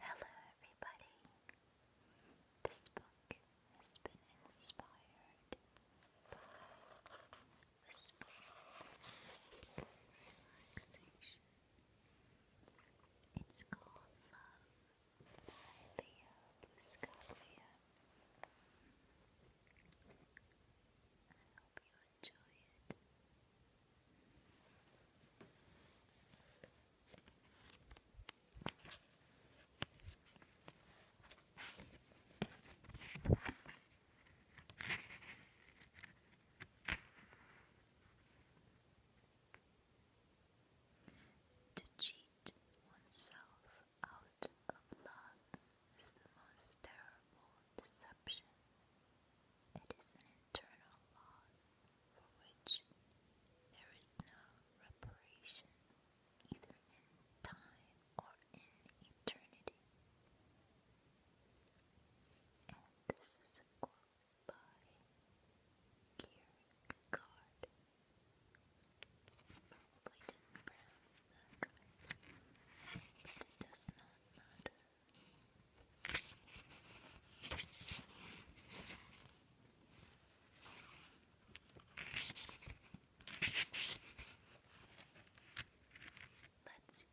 Hello, everybody. This book has been inspired by whispering relaxation. It's called Love by Leo Buscaglia. you to cheat oneself out of love is the most terrible deception. It is an internal loss for which there is no reparation, either in time or in eternity. And this is a quote by Kierkegaard. Probably did but it does not matter. Let's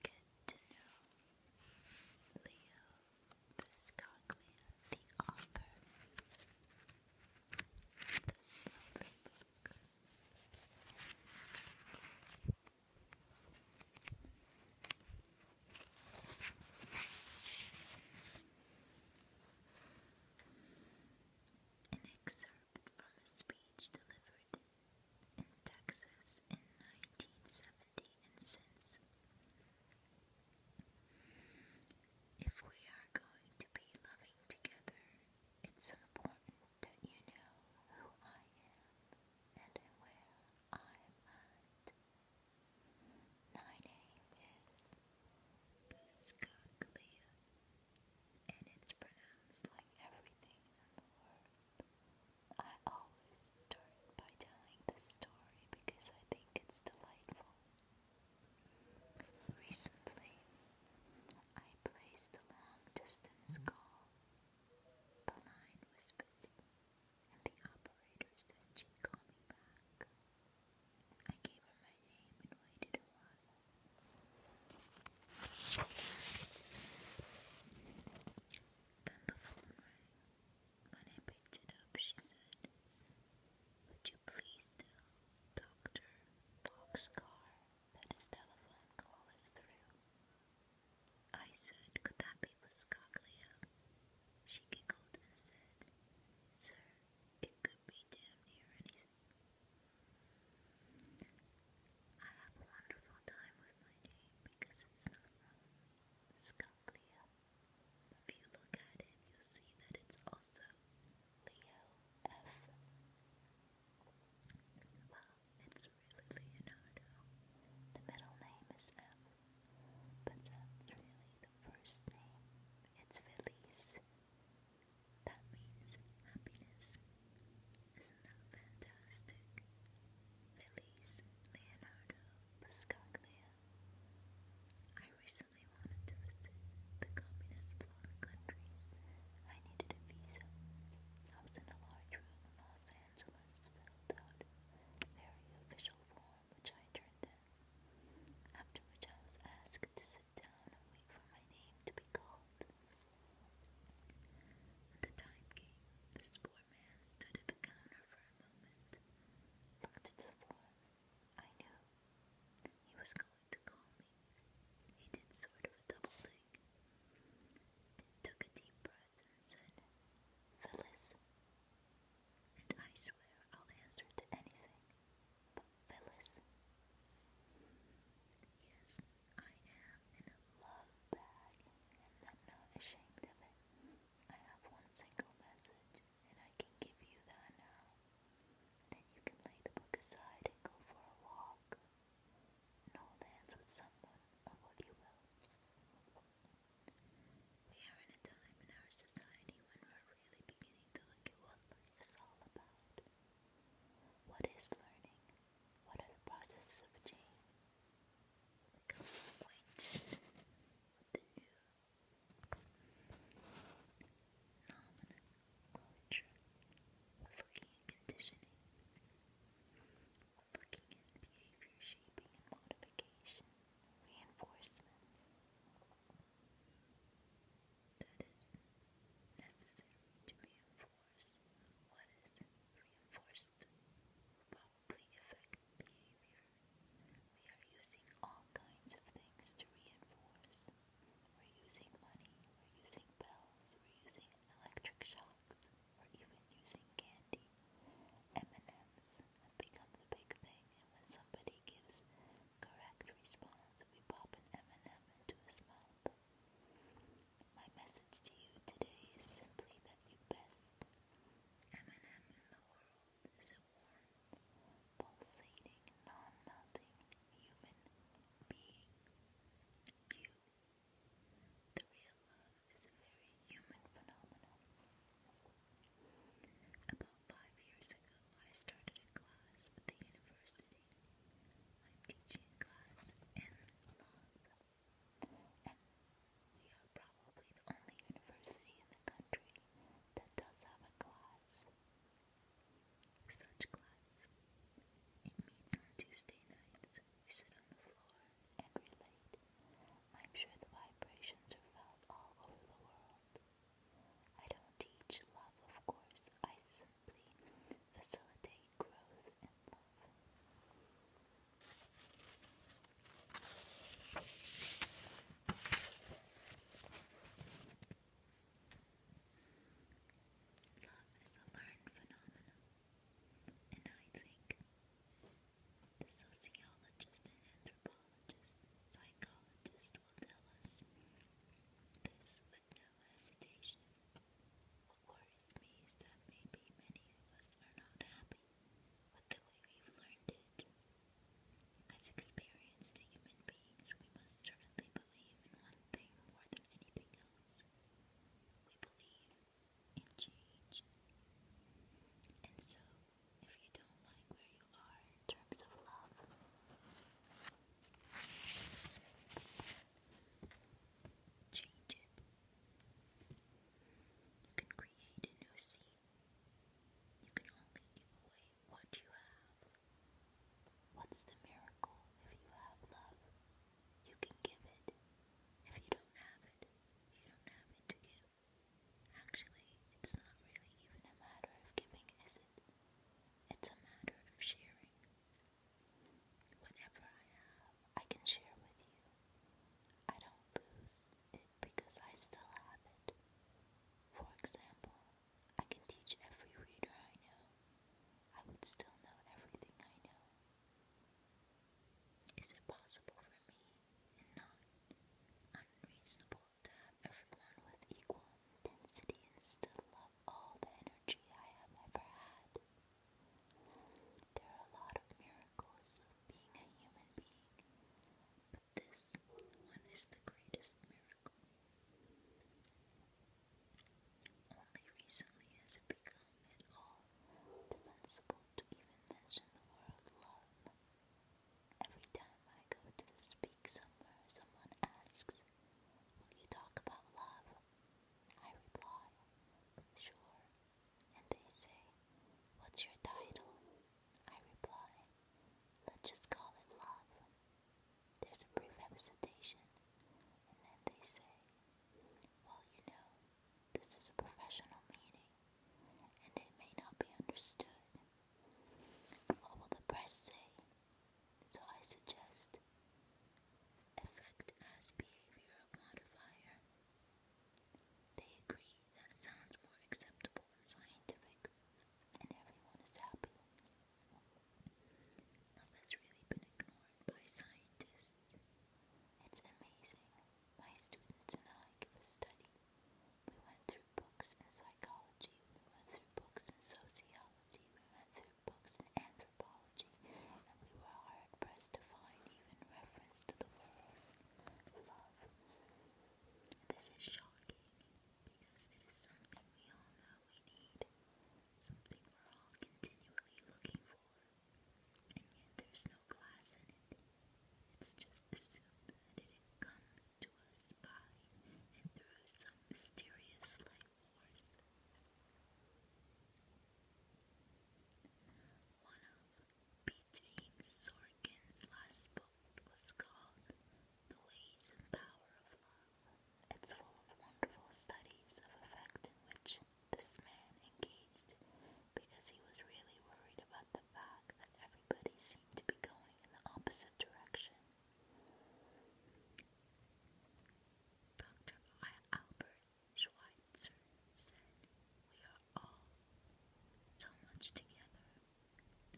get to know Leo Buscaglia, the author of the Snowflake Book. An excerpt from a speech delivered in Texas in 1970 and since. If we are going to be loving together, it's important that you know who I am and am where I'm at. My name is Buscaglia, and it's pronounced like everything in the world. I always start by telling the story because I think it's delightful. Recently, I placed a long distance call the line was busy, and the operator said she'd call me back. I gave her my name and waited a while. Then the phone rang. When I picked it up, she said, Would you please tell Dr. Boxcar that his telephone call is through? I said, could that be Buscaglia? She giggled and said, sir, it could be damn near anything. I have a wonderful time with my name because it's not wrong. If you look at it, you'll see that it's also Leo F. It's really Leonardo. The middle name is M, but that's really the first name. It's Feliz. That means happiness. Isn't that fantastic? Feliz Leonardo Buscaglia. I recently wanted to visit the communist bloc countries. I needed a visa. I was in a large room in Los Angeles filled out very official form which I turned in, after which I was asked to sit down and wait for my name to be called. The time came. This poor man stood at the counter for a moment, looked at the form. I knew he was going to call me. He did sort of a double take, took a deep breath said Phyllis. And I swear I'll answer to anything but Phyllis. Yes, I am in a love bag, and I'm not ashamed of it. I have one single message, and I can give you that now. Then you can lay the book aside and go for a walk and hold hands with someone or what you will. We are in a time in our society when we're really beginning to look at what life is all about. What is learning? What are the processes of change? Becoming acquainted the new phenomena, culture, looking and conditioning looking at behavior shaping and modification, reinforcement that is necessary to reinforce what is reinforced will probably affect behavior. We are using all kinds of things to reinforce. We're using money, we're using bells, we're using electric shocks books, or even using candy. M&Ms have become the big thing, and when somebody gives correct response, we pop an M&M into his mouth. My message to you today is simply that you best M&M in the world is a warm, pulsating, non-melting human being. You the real love is a very human phenomenon. About five years ago, I started a class at the university. I'm teaching a class in love, and we are probably the only university in the country that does have a class. Such class. It meets on Tuesday nights we sit on the floor and relate. I'm sure the vibrations are felt all over the world. I don't teach love, of course, I simply facilitate growth and love. Love is a learned phenomenon. And I think the sociologist and anthropologist, psychologist will tell us this with hesitation. What worries me is that maybe many of us are not happy with the way we've learned it. As experienced human beings, we must certainly believe in one thing more than anything else. We believe and change. And so, if you don't like where you are in terms of love, change it. You can create a new scene. You can only give away what you have. What's the miracle if you have love? You can give it. If you don't have it, you don't have it to give. Actually, it's not really even a matter of giving, is it? It's a matter of sharing. Whatever I have, I can share with you. I don't lose it because I still have it. For example, I can teach every reader I know. I would still know everything I know is it possible for me, and not unreasonable, to have everyone with equal intensity and still love all the energy I have ever had? There are a lot of miracles of being a human being, but this one is the greatest miracle. Only recently has it become at all defensible to even mention the word love. Every time I go to speak somewhere, someone asks, Will you talk about love? I reply, Sure. And they say, What's your title? I reply, Let's just call it love. There's a brief hesitation, and then they say, Well, you know, this is a professional meeting, and it may not be understood. What will the press say? So I suggest effect as behavioral modifier. They agree that sounds more acceptable and scientific, and everyone is happy. Love has really been ignored by scientists. It's amazing. My students and I give a We went through books in psychology, we went through books in sociology, we went through books in anthropology, and we were hard pressed to find even reference to the word love. This is shocking because it is something we all know we need, something we're all continually looking for. And yet there's no glass in it. It's just a soup that it comes to us by and through some mysterious light force. One of P.T. Sorkin's last book was called The Ways and Power of Love. It's full of wonderful studies of affect in which this man engaged because he was really worried about the fact that everybody seemed to be going in the opposite direction. Dr. Albert Schweitzer said, We are all so much together,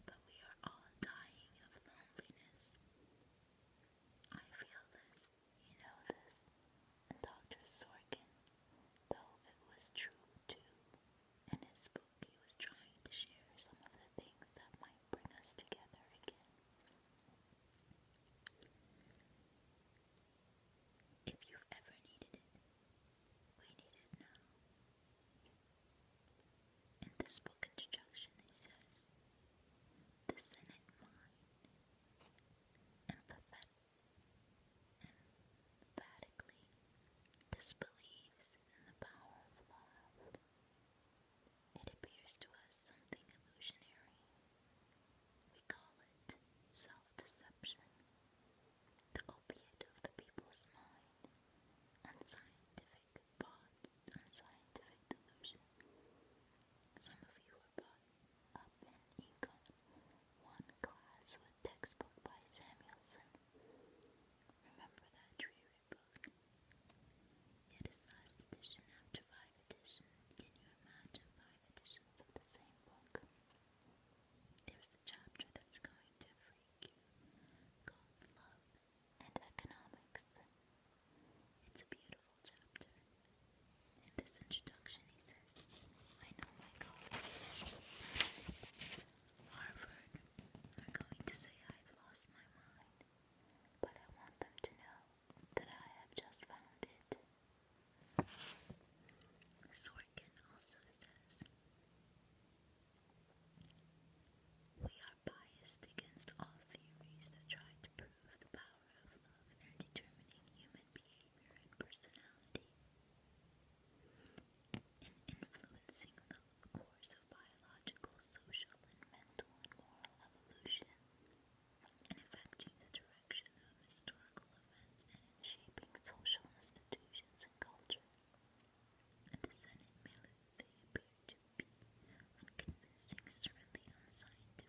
but we are all dying of loneliness. I feel this you know this, and Dr. Sorkin, though it was true too, in his book he was trying to share some of the things that might bring us together again. If you've ever needed it, we need it now. In this book introduction, he says, This in mine, and perfect emphatically disbelieves in the power of love. It appears to us something illusionary. We call it self deception, the opiate of the people's mind, unscientific, bought, unscientific delusion. Some of you are bought up in England, one class with textbook by Samuelson. Remember that dreary book? Yet five editions. Can you imagine five editions of the same book? There's a chapter that's going to freak you called Love and Economics. It's a beautiful beautiful chapter. In this introduction, he says, I know my colleagues at Harvard are going to say I've lost my mind, but I want them to know that I have just found it. Sorkin also says, we are biased against all theories that try to prove the power powerful in determining human behavior and personality, in influencing the course of biological, social, and mental and moral evolution, in affecting the direction of historical events, and in shaping social institutions and culture. At the Senate they appear to be unconvincing, certainly unscientific,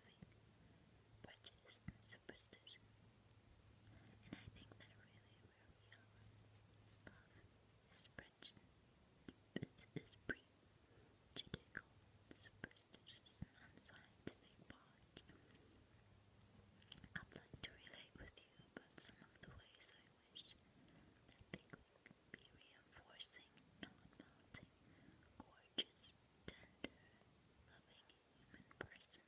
prejudiced, superstition. And I think that really where we are is prejudicial, superstitious, and unscientific I'd like to relate with you about some of the ways I wish that they could be reinforcing, non-mounting, gorgeous, tender, loving human person.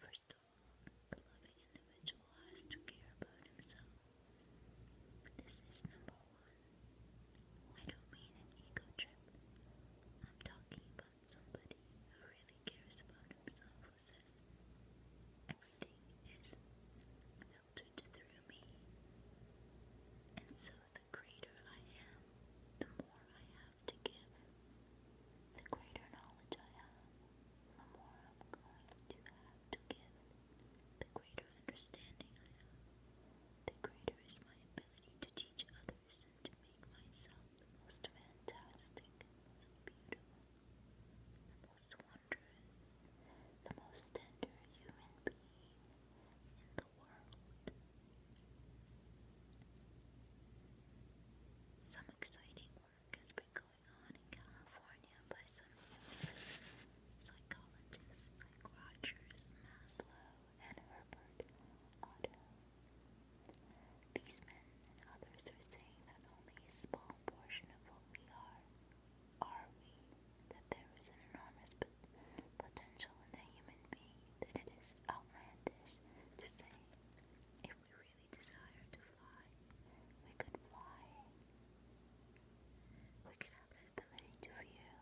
First of all, the loving individual has to care about himself. This is number one. I don't mean an ego trip. I'm talking about somebody who really cares about himself, who says, everything is filtered through me. And so the greater I am, the more I have to give the greater knowledge I have, the more I'm going to have to give. The greater understanding I have, the greater is my ability to teach others and to make myself the most fantastic, the most beautiful, the most wondrous, the most tender human being in the the world. Some exciting work has been going on in California by some humans, psychologists like Rogers, Maslow, and Herbert These men and others are saying that only a small portion of what we are are we, that there is an enormous potential in the human being that it is outlandish to say if we really desire to fly, we could fly. We could have the ability to feel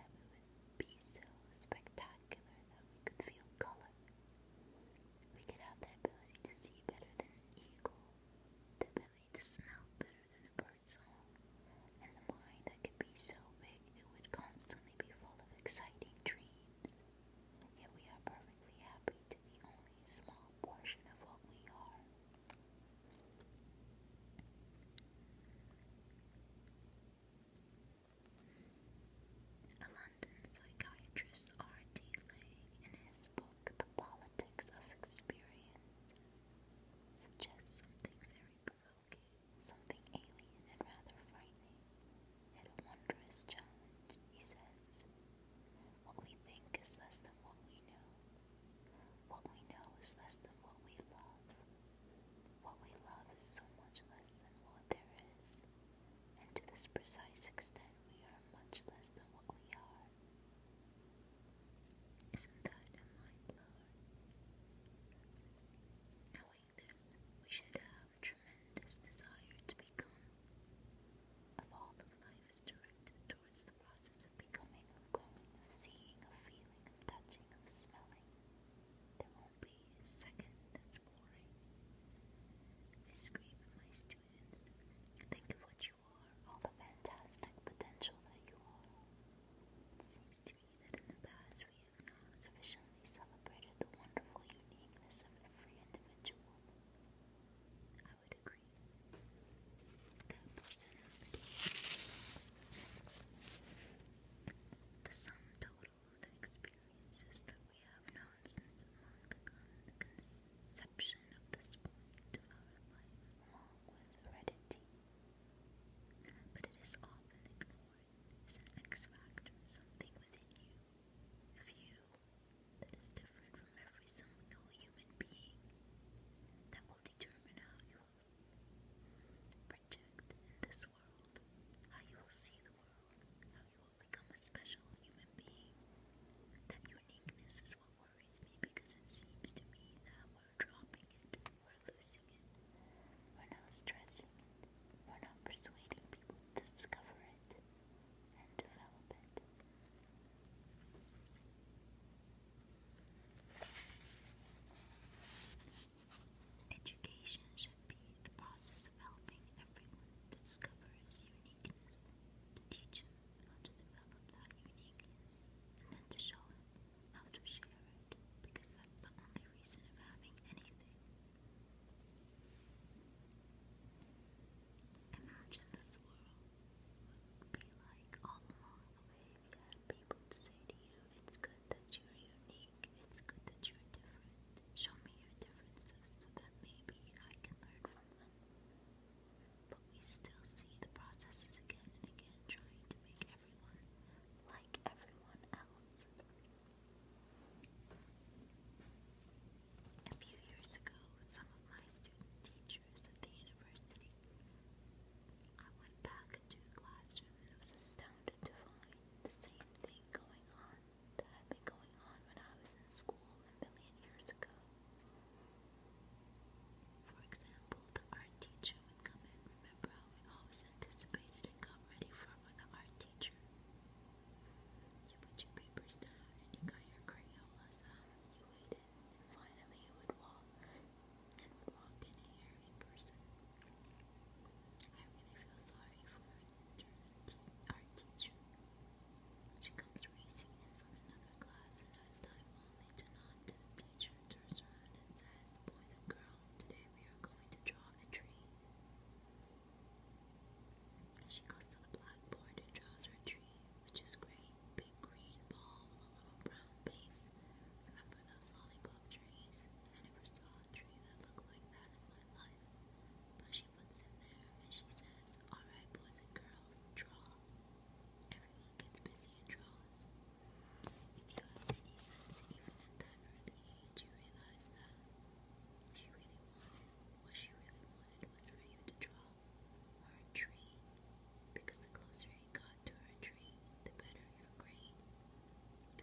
that we would be so spectacular that we could feel color. We could have the ability to see better than an eagle, the ability to smell better than a bird song, and the mind that could be so big it would constantly be full of exciting dreams. Yet we are perfectly happy to be only a small portion of what we are. A London psychiatrist, R.D. Lang, in his book The Politics of Experience, suggests something very profound something alien and rather frightening. Yet a wondrous challenge, he says. What we think is less than what we know. What we know is less than what we love. What we love is so much less than what there is. And to this precise extent, we are much less than what we are. Isn't that mind blower? this, we should have tremendous desire to become. Of all of life is directed towards the process of becoming, of growing, of seeing, of feeling, of touching, of smelling. There won't be a second that's boring. I scream at my students, think of what you are, all the fantastic potential that you are. It seems to me that in the past we sufficiently celebrated the wonderful uniqueness of every individual. I would agree. The personalities, the sum total of the experiences that we have known since the conception of this point of our life, along with heredity. But it is often ignored is an X factor, something within you, of you, that is different from every single human being, that will determine how you will project in this world, how you will see the world, how you will become a special human being. That uniqueness is what worries me because it seems to me that we're dropping it. We're losing it. We're not stressing We're not persuading people to discover it and develop it. Education should be the process of helping everyone discover his uniqueness, to teach him how to develop that uniqueness, and then to show it how to share it because that's the only reason of having anything. Imagine this world would be like all along the way you people to say to you, it's good that you're unique, it's good that you're different. Show me your differences so that maybe I can learn from them. But we still see the processes again and again trying to make everyone like everyone else. A few years ago, some of my student teachers at the university, I went back into the classroom and was astounded to find the same thing going on that had been going on when I was in school a million years ago. For example, the art teacher come in. Remember how we always anticipated and got ready for with the art teacher? You put your papers down and you got your Crayolas out you waited and finally you would walk and walk in here in person. I really feel sorry for our teacher. She comes racing in from another class and has time only to nod to the teacher, turns around and says, Boys and girls, today we are going to draw saw the tree. She goes to the blackboard and draws her tree, which is great. Big green ball with a little brown base. Remember those lollipop trees? I never saw a tree that looked like that in my life. But she puts it there and she says, Alright boys and girls, draw. Everyone gets busy and draws. If you have any sense, even at that early age, you realize that what she really wanted was for you to draw her tree. Because the closer you got to her tree, the better your grade.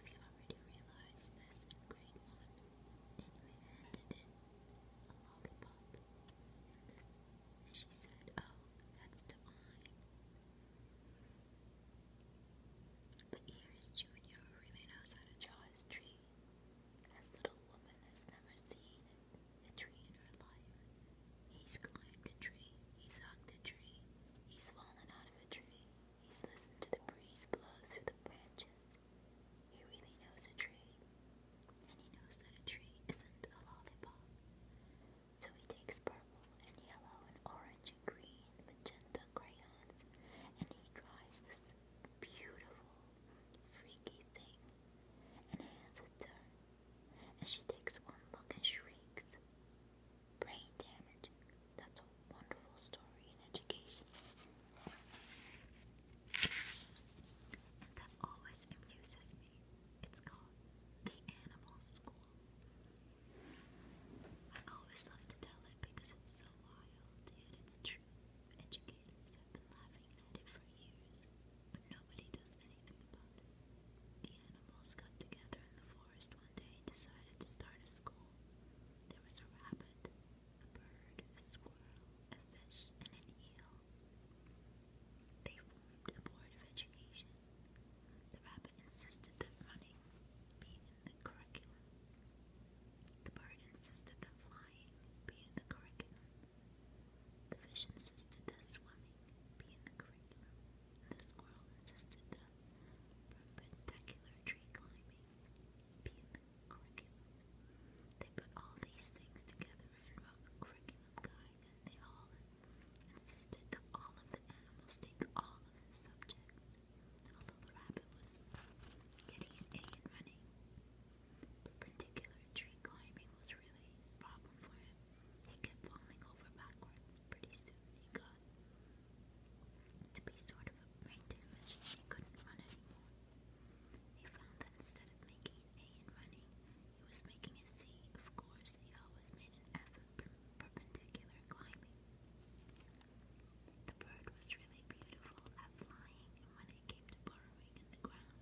If you already realized this in grade 1, then you handed it a lollipop. and she said, oh, that's divine. But Ears Jr. really knows how to draw his tree. As Little Woman has never seen a tree in her life. He's climbed a tree, he's hugged a tree, he's fallen out of a tree, he's listened to the breeze blow through the branches. He really knows a tree, and he knows that a tree isn't a lollipop. So he takes and yellow and orange and green, magenta crayons, and he draws this beautiful, freaky thing and hands it to her. And she takes one look and shrieks. Brain damage. That's a wonderful story in education. And that always amuses me. It's called The Animal School. I always love to tell it because it's so wild, yet it's true. Educators have been laughing at it for years, but nobody does anything about it. The animals got together in the forest one day and decided to start a school. There was a rabbit, a bird, a squirrel, a fish, and an eel. They formed a board of education the rabbit insisted that running be in the curriculum. The bird insisted that flying be in the curriculum. The fish insisted that swimming be in the curriculum. the squirrel insisted that perpendicular tree climbing be in the curriculum. They put all these things together and wrote a curriculum guide, and they all insisted that all of the animals take all of the subjects although the rabbit was getting an A in running. But particular tree climbing was really a problem for him. He kept falling over backwards. Pretty soon he got to be sort of a brain damage and he couldn't run anymore. He found that instead of making an A in running, he was making a C, of course, he always made an F perpendicular climbing. The bird was really beautiful at flying, and when it came to burrowing in the ground,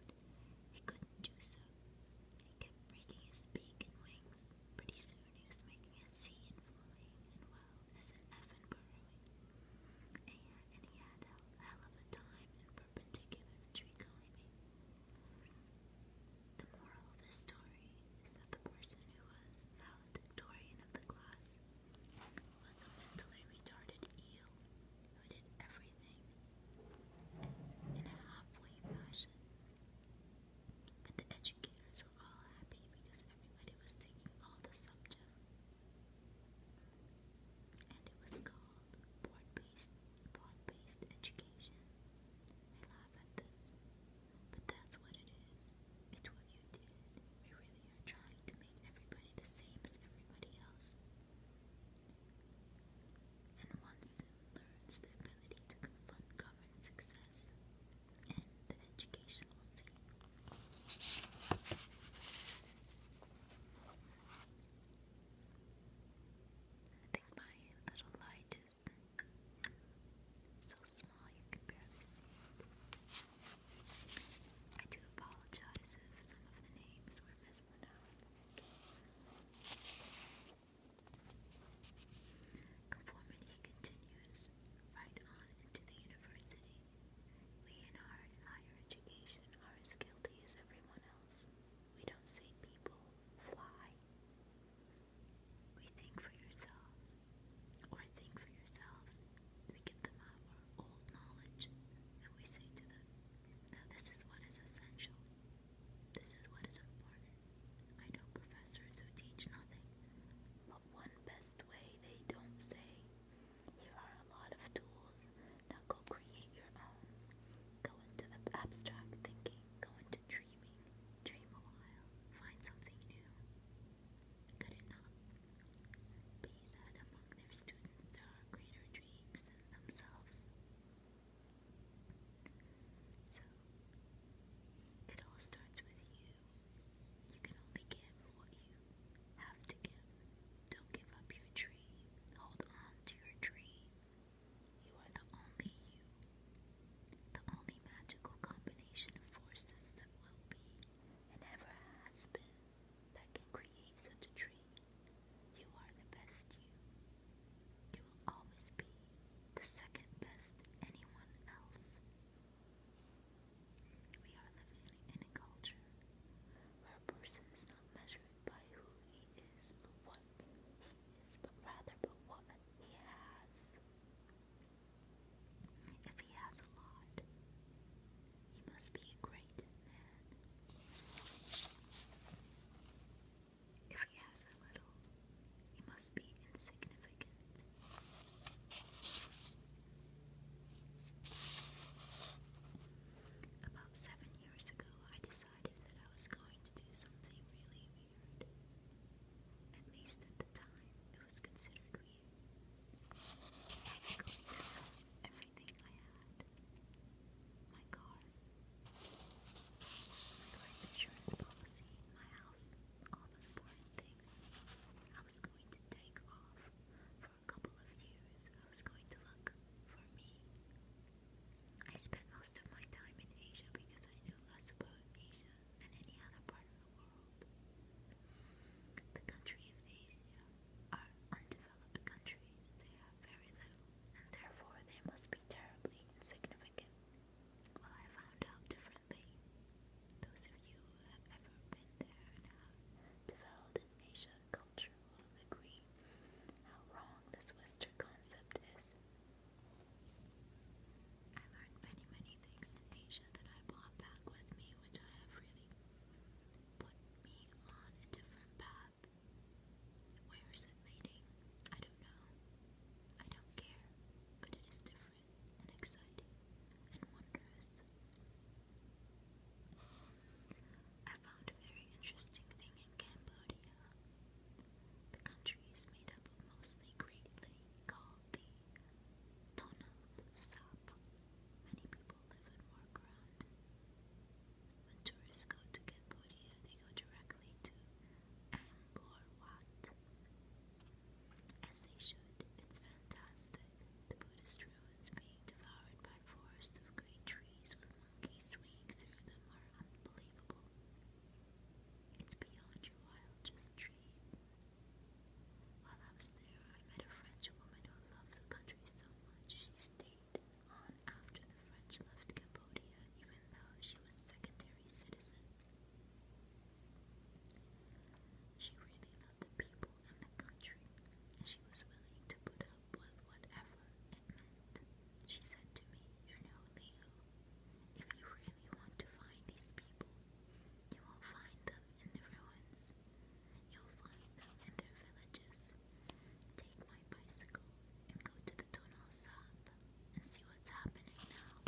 he couldn't do so. He kept breaking his beak and wings. Pretty soon he was making a sea flying, and well, as an effing burrowing. And, he had hell of a time in perpendicular tree climbing. The moral of this story is that the person who was valedictorian of the class, was a mentally retarded eel who did everything in a halfway fashion. But the educators were all happy because everybody was taking all the subjects. And it was called broad-based broad-based education. I laugh at this. But that's what it is. It's what you did. We really are trying to make everybody the same as everybody else. And one learns the ability to confront governed success and the educational scene. I think my little light is so small you can barely see I do apologize if some of the names were mispronounced. Conformity continues right on into the university. We in higher education are as guilty as everyone else. We don't see people fly. We think for yourselves, or think for yourselves. We give them our old knowledge, and we say to them, Now this is what is essential. This is what is important. I know professors who teach nothing, but one best way they don't say. Here are a lot of tools. Now go create your own. Go into abstract thinking. Go into dreams. Dream a while. Find something new. Good enough. Be that among their students are greater dreams than themselves. So, it all starts with you. You can only give what you have to give. Don't give up your dream. Hold on to your dream. You are the only you. The only magical combination of forces that will be and ever has been that can create such a tree. You are the best you. You will always be the second best anyone else. We are living in a culture where a person is not measured by who he is or what he is, but rather by what he has. If he has a lot, he must be a great man. If he has a little, he must be insignificant. About seven years ago, I decided that I was going to do something really, at least at the time, it was considered weird. I was everything I had. My car, my life insurance policy, my house, all the important things. I was going to take off for a couple of years. I was going to look for me. I spent most of my time in Asia because I knew less about Asia than any other part of the world. The country of Asia are undeveloped countries, they have very little, and therefore they must be terribly insignificant. Well, I found out differently. Those of you who have ever been there and have developed an Asian culture will agree how wrong this Western concept is I learned many, many things in Asia that I brought back with me, which I have really put me on a different path. Where is it leading? I don't know. I don't care, but it is different and exciting and wondrous. I found a very interesting thing in Cambodia. The country is made up of mostly greatly calm the Tonal Sap. Many people live and work around When tourists go to Cambodia, they go directly to Angkor Wat. As they should, it's fantastic. The Buddhist ruins being devoured by forests of green trees with monkeys swinging through them are unbelievable. It's beyond your wildest dreams. While I was there, I met a French woman who loved the country so much she stayed on after the French left Cambodia, even though she was secondary citizen. She really loved the people and the country, and she was willing to put up with whatever it meant. She said to me, You know, Leo, if you really want to find these people, you will find them in the ruins. You'll find them in their villages. Take my bicycle and go to the tunnel sub and see what's happening now.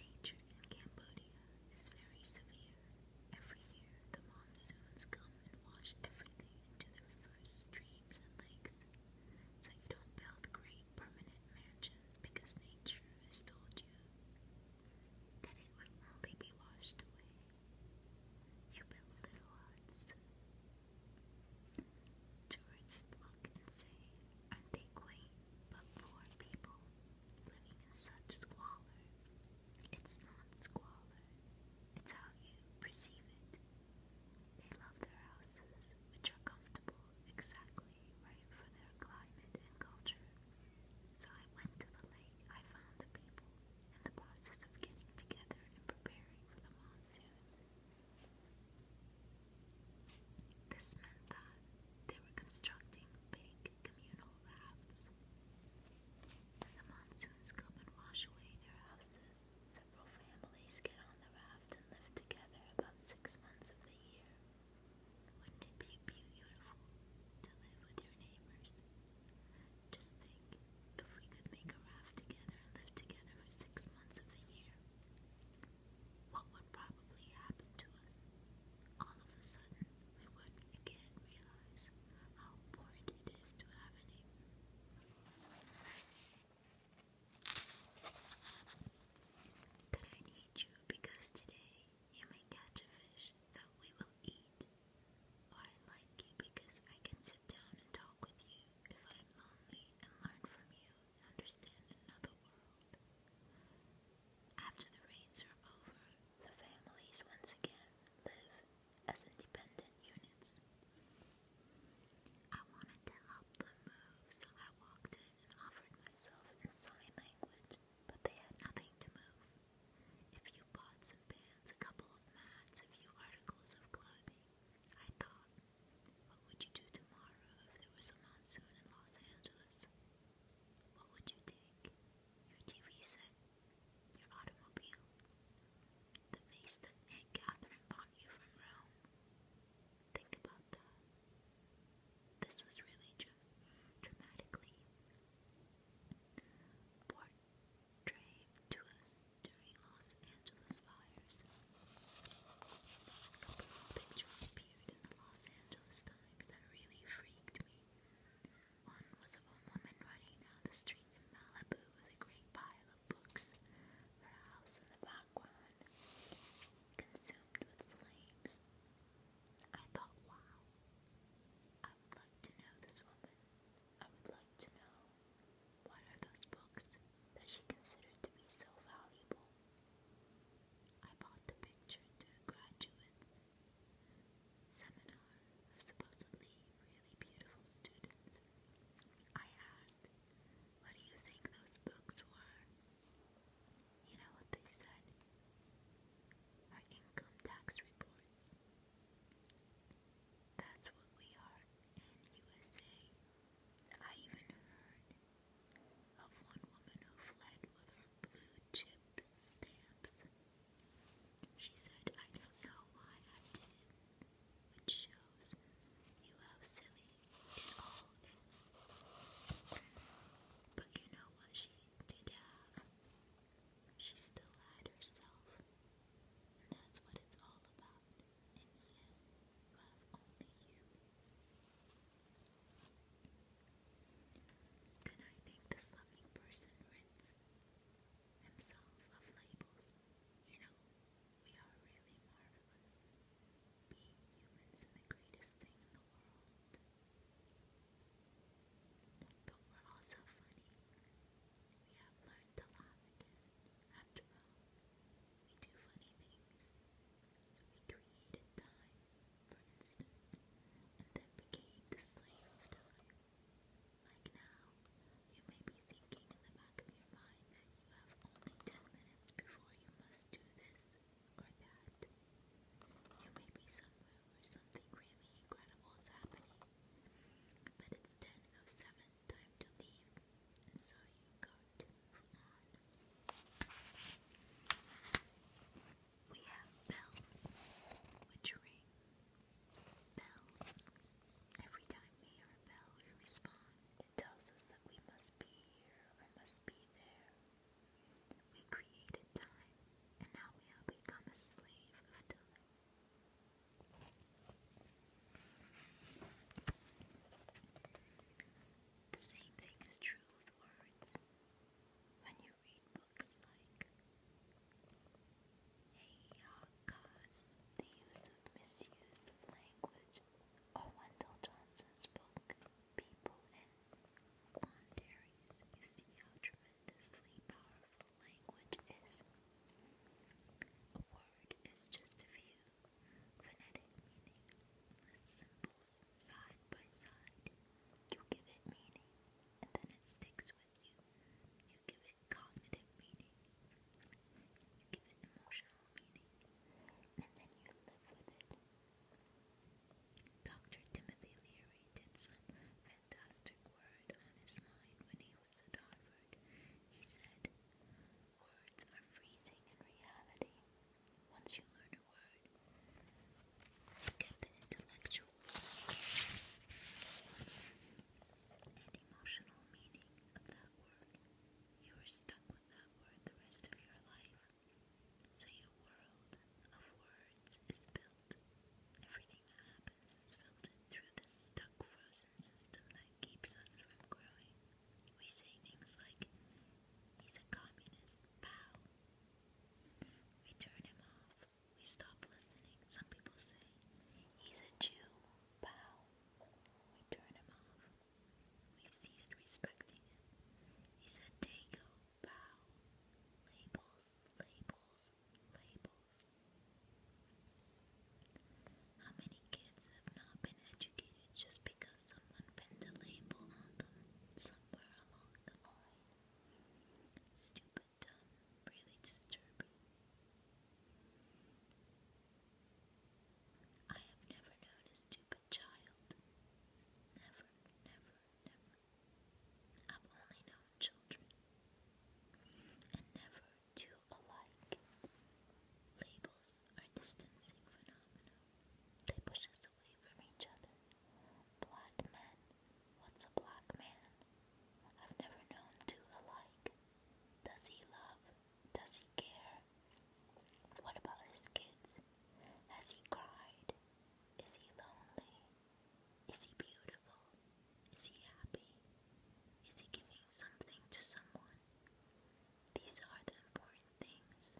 Nature in Cambodia is very severe. Every year, the monsoons come and wash everything into the rivers, trees, so you don't build great permanent mansions because nature has told you that it will only be washed away. You build little huts. Tourists look and say, aren't they quaint? But poor people living in such squalor. It's not squalor, it's how you perceive it. They love their houses, which are comfortable, exactly right for their climate and culture. So I went to the lake, I found the people in the process of getting together and preparing for the monsoons. This meant that they were constructing big communal rafts. The monsoons come and wash away their houses, several families get on the raft and live together about six months of the year. Wouldn't it be beautiful to live with your neighbors? Just think if we could make a raft together and live together for six months of the year. What would probably happen to us? All of a sudden, we would again realize how important it is to have a neighbor. But I need you because today you may catch a fish that we will eat. I like you because I can sit down and talk with you if I'm lonely and learn from you understand another world. After the raids are over, the families once again live as independent units. I wanted to help them move, so I walked in and offered myself in sign language, but they had nothing to move. If you bought some pins, a couple of mats, a few articles of clothing, I thought, what would you do tomorrow if there was a monsoon in Los Angeles? What would you take? Your TV set? Your automobile? the face that Aunt Catherine bought you from Rome. Think about that. This was really dra dramatically portrayed to us during Los Angeles fires. A couple of pictures appeared in the Los Angeles Times that really freaked me. One was of a woman running down the street in Malibu with a great pile books, her house in the background, consumed with flames. I thought, wow, I would like to know this woman. I would like to know what are those books that she considered to be so valuable. I bought the picture to a graduate seminar of supposedly really beautiful students I asked, What do you think those books were? You know what they said? Our income tax reports. That's what we are in USA. I even heard of one woman who fled with her blue chip stamps. She said, I don't know why I did which shows you how silly it all is. But you know what she did have? She still had herself. And that's what it's all about. In the end, you only you. Then I think the slumming person rids himself of labels, you know, we are really marvelous. Being humans and the greatest thing in the world. But we're also funny. We have learned to laugh After all, we do funny things. We created time, for instance, and then became the slave of time. Like now, you may be thinking in the back of your mind you have only ten minutes before you must do this or that. You may be somewhere where something really incredible is happening, but it's ten oh seven, time to leave, so you got to move We have bells which ring. Bells Every time we hear we respond, it tells us that we must be here or must be there. We created time, and now we have become a slave of time. The same thing is true with words. When you read books like Hey Ya Lacaze, The Use and Misuse of Language, or Wendell Johnson's book, People and Boundaries, you see how tremendously powerful language is. A word is just a few phonetic meaningless symbols side by side. You give it meaning, and then it sticks with you. You give it cognitive meaning, you emotional meaning, and then you live with it. Dr. Timothy Leary did some fantastic word on his mind when he was at Harvard. He said, Words are freezing in reality. Once you learn a word, you get the intellectual and emotional meaning of that word. You are stuck with that word the rest of your life. So your world of words is built. Everything that happens is filtered through this stuck frozen system that keeps us from growing. We say things like, he's a communist, pow. We turn him off. We stop listening. Some people say, he's a Jew, pow. We turn him off. We've ceased respecting him. He's a dago bow. Labels, labels, labels. How many kids have not been educated just because someone pinned a label on them somewhere along the line? Stupid, dumb, really disturbing. I have never known a child. Never, never, never. I've only known children. And never two alike. Labels are distancing phenomena. They push us away from each other. Black men. What's a black man? I've never known two alike. Does he love? Does he care? What about his kids? Has he cried? Is he lonely? Is he beautiful? Is he happy? Is he giving something to someone? These are the important things,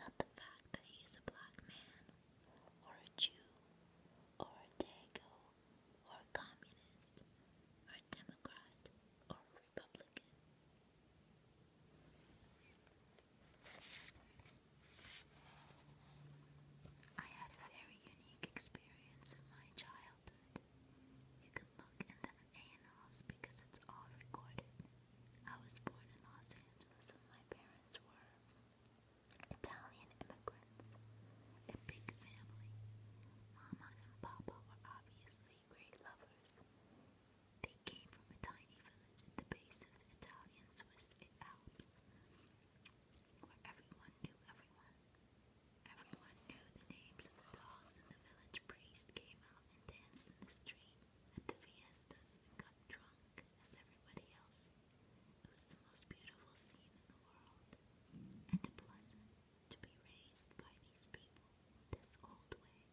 not the fact that he is a black man, or a Jew, or a Dago, or a communist, or a Democrat, or I had a very unique experience in my childhood. You can look in the annals because it's all recorded. I was born in Los Angeles and my parents were Italian immigrants. A big family. Mama and Papa were obviously great lovers. They came from a tiny village at the base of the Italian Swiss Alps, where everyone knew everyone. Everyone knew the names of the dogs, and the village priest came out and danced in the street at the fiestas and got drunk as everybody else. It was the most beautiful scene in the world, and a pleasant, to be raised by these people this old way.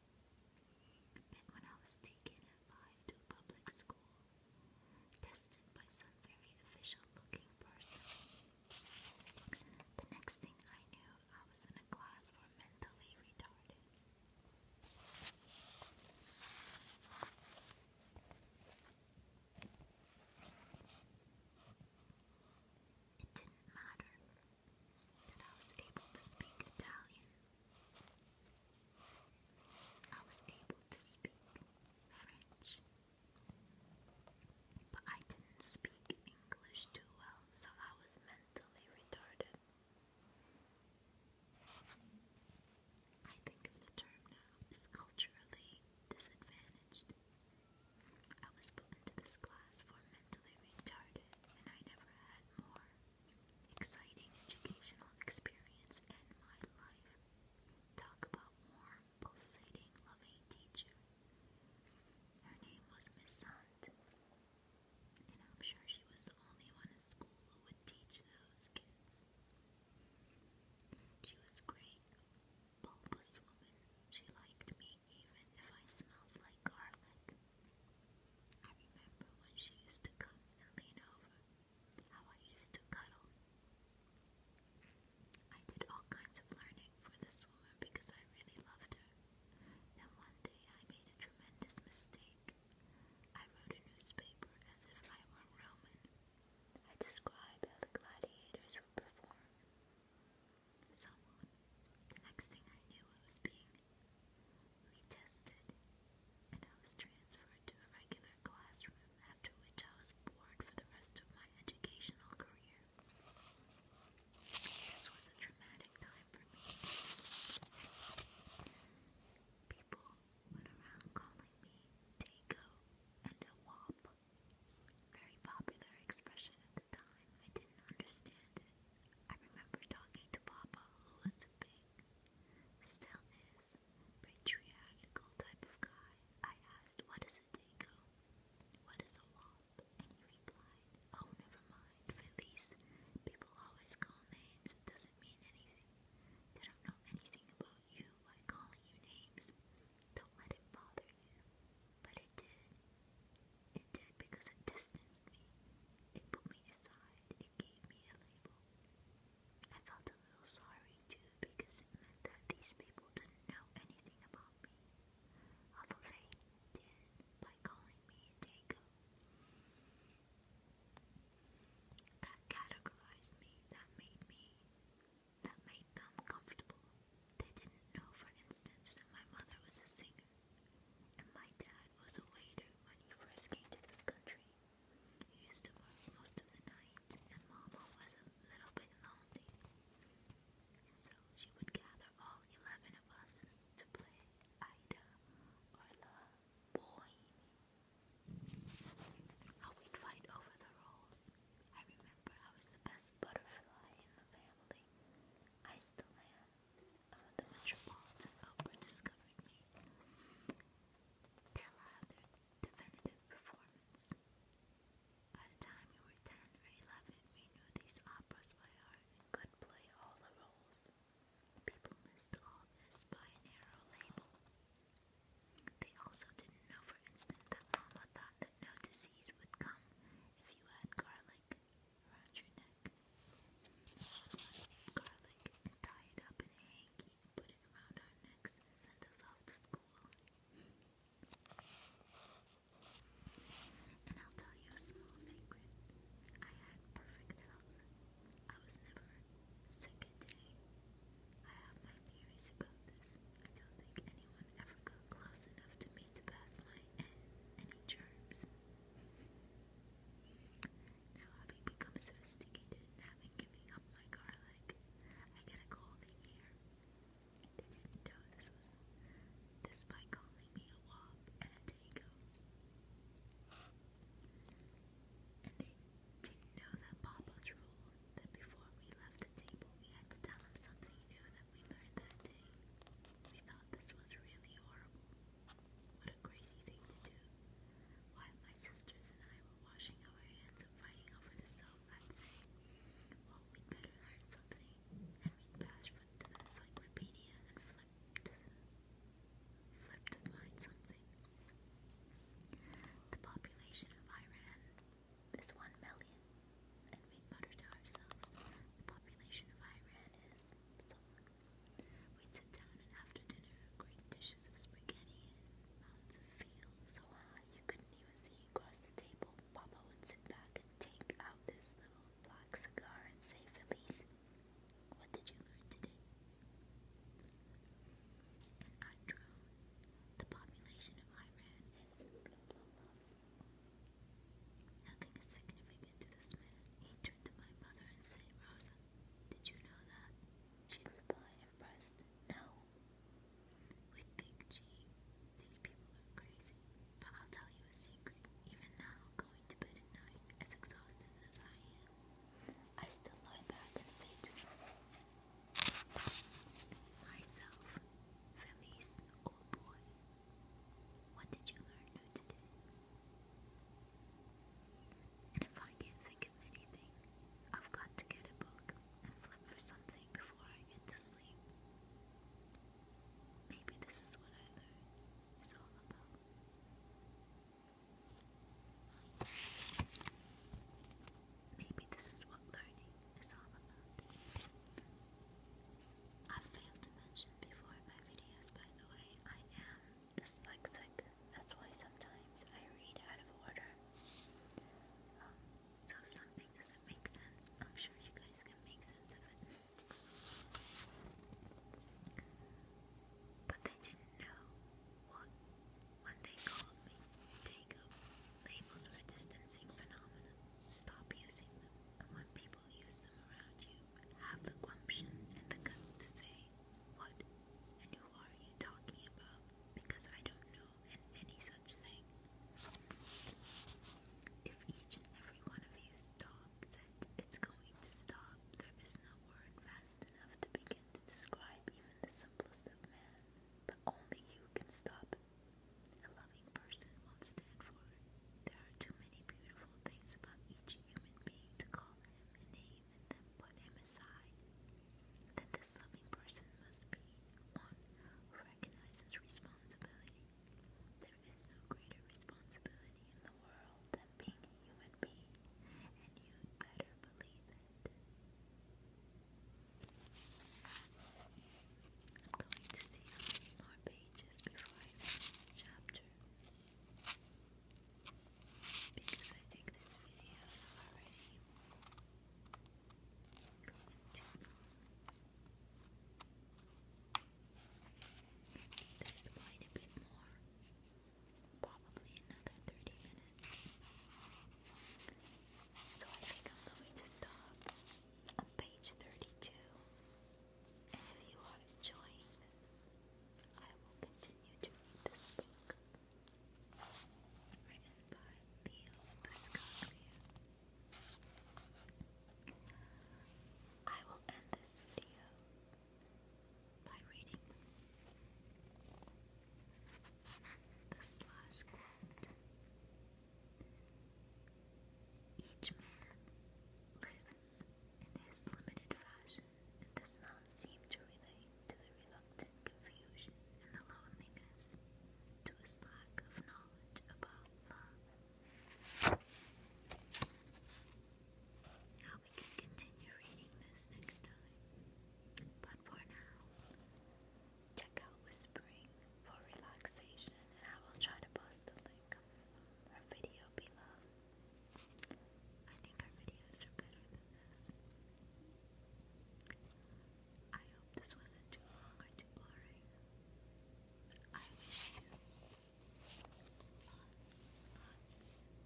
And when I was taken at to public school, tested by some very official looking person, the next thing I knew, I was in a class for mentally retarded it didn't matter that I was able to speak Italian. I was able to speak French. But I didn't speak English too well, so I was mentally retarded. I think the term now as culturally disadvantaged. I was put into this class for mentally retarded, and I never had more exciting educational experience in my life. Talk about warm, pulsating, loving teacher. Her name was Miss Hunt, and I'm sure she was the only one in school who would teach those kids. She was great, bulbous woman. She liked me even if I smelled like garlic. I remember when she used to come and lean over, how I used to cuddle. I did all kinds of learning for this woman because I really loved her. Then one day I made a tremendous mistake. I wrote a newspaper as if I were Roman. I described how the gladiators would perform someone. The next thing I knew, I was being retested, and I was transferred to a regular classroom, after which I was bored for the rest of my educational career. This was a traumatic time for me. People went around calling me Dago and a wop. Very popular expression time, I didn't understand it. I remember talking to Papa, who was a big, still is, patriarchal type of guy. I asked, what is a dago? What is a wop? And he replied, oh, never mind, Felice. People always call names, it doesn't mean anything. They don't know anything about you by calling you names. Don't let it bother but it did. It did because it distanced me. It put me aside. It gave me a label. I felt a little sorry too because it meant that these people didn't know anything about me. Although they did by calling me a Dago. That categorized me. That made me. That made them comfortable. They didn't know, for instance, that my mother was a singer, and my dad was a waiter when he first came to this country. He used to work most of the night, and Mama was a little bit lonely. And so she would gather all eleven of us to play Ida or the boy. How we'd fight over the roles. I remember I was the best butterfly in the family. Honestly, I still am. Uh, the Metropolitan Opera discovered me. They'll their definitive performance. By the time we were 10 or 11, we knew these operas by heart and could play all the roles. People missed all this by a narrow label. They also didn't know, for instance, that Mama thought that no disease would come you had garlic around your neck. Garlic, tie it up in a hanky, put it around our necks, send us off to school. And I'll tell you a small secret. I had perfect health. I was never sick a day. I have my theories about this. I don't think anyone ever got close enough to me to pass my any germs. Now, having become sophisticated having given up my garlic, I get a cold here. They didn't know this was this by calling me a wop and a dago. And they didn't know that Papa's rule that before we left the table we had to tell him something video that we learned that day. We thought this was really horrible. What a crazy thing to do. While my sisters and I were washing our hands and fighting over the soap, I'd say, well, we better learn something. And we'd bash the encyclopedia and flip to to find something. The population of Iran this 1 million, and we mutter to ourselves the population of Iran is so We'd sit down and after dinner, great dishes of spaghetti and mounds of veal so high you couldn't even see across the table. Papa would sit back and take out his little black cigar and say, Felice, what did you learn today? I drone, the population of Iran is Nothing is significant to this man. He turned to my mother and said, Rosa, did you know that? She replied, impressed, No. We think, gee, these people are crazy. But I'll tell you a secret. Even now, going to bed at night, as exhausted as I am, I still lie back and say to myself, Felice, old boy, what did you learn today? And if I can't think of anything, I've got to get a book and flip for something before I get to sleep. Maybe this is what I learned is all about. Maybe this is what learning is all about. I failed to mention before in my videos, by the way, I am dyslexic. That's why sometimes I read out of order. Um, so if something doesn't make sense, I'm sure you guys can make sense of it. But they didn't know what when they called me take up labels for distancing phenomena. Stop using them, and when people use them around you, have the gumption and the guts to say, What and who are you talking about? Because I don't know any such thing. If each and every one of you stops it, it's going to stop. There is no word fast enough to begin to describe even the simplest of men, but only you can stop a loving person won't stand for it. There are too many beautiful things about each human being to call him a name and then put him aside. That this loving person must be one who recognizes responsibility. There is no greater responsibility in the world than being a human being, and you'd better believe it. I'm going to see how many more pages before I finish the chapter. Because I think this video is already going too There's quite a bit more. Probably another 30 minutes. So I think I'm going to stop on page 32. And if you are enjoying this, I will continue to read this book. Written by Leo Buscaglia. I will end this video by reading this last quote each man lives in his limited fashion and does not seem to relate to the reluctant confusion and the loneliness to his lack of knowledge about love. Now we can continue reading this next time, but for now, Check out Whispering for relaxation, and I will try to post a link of video below. I think her videos are better than this. I hope this wasn't too long or too boring. I wish you lots, lots of love.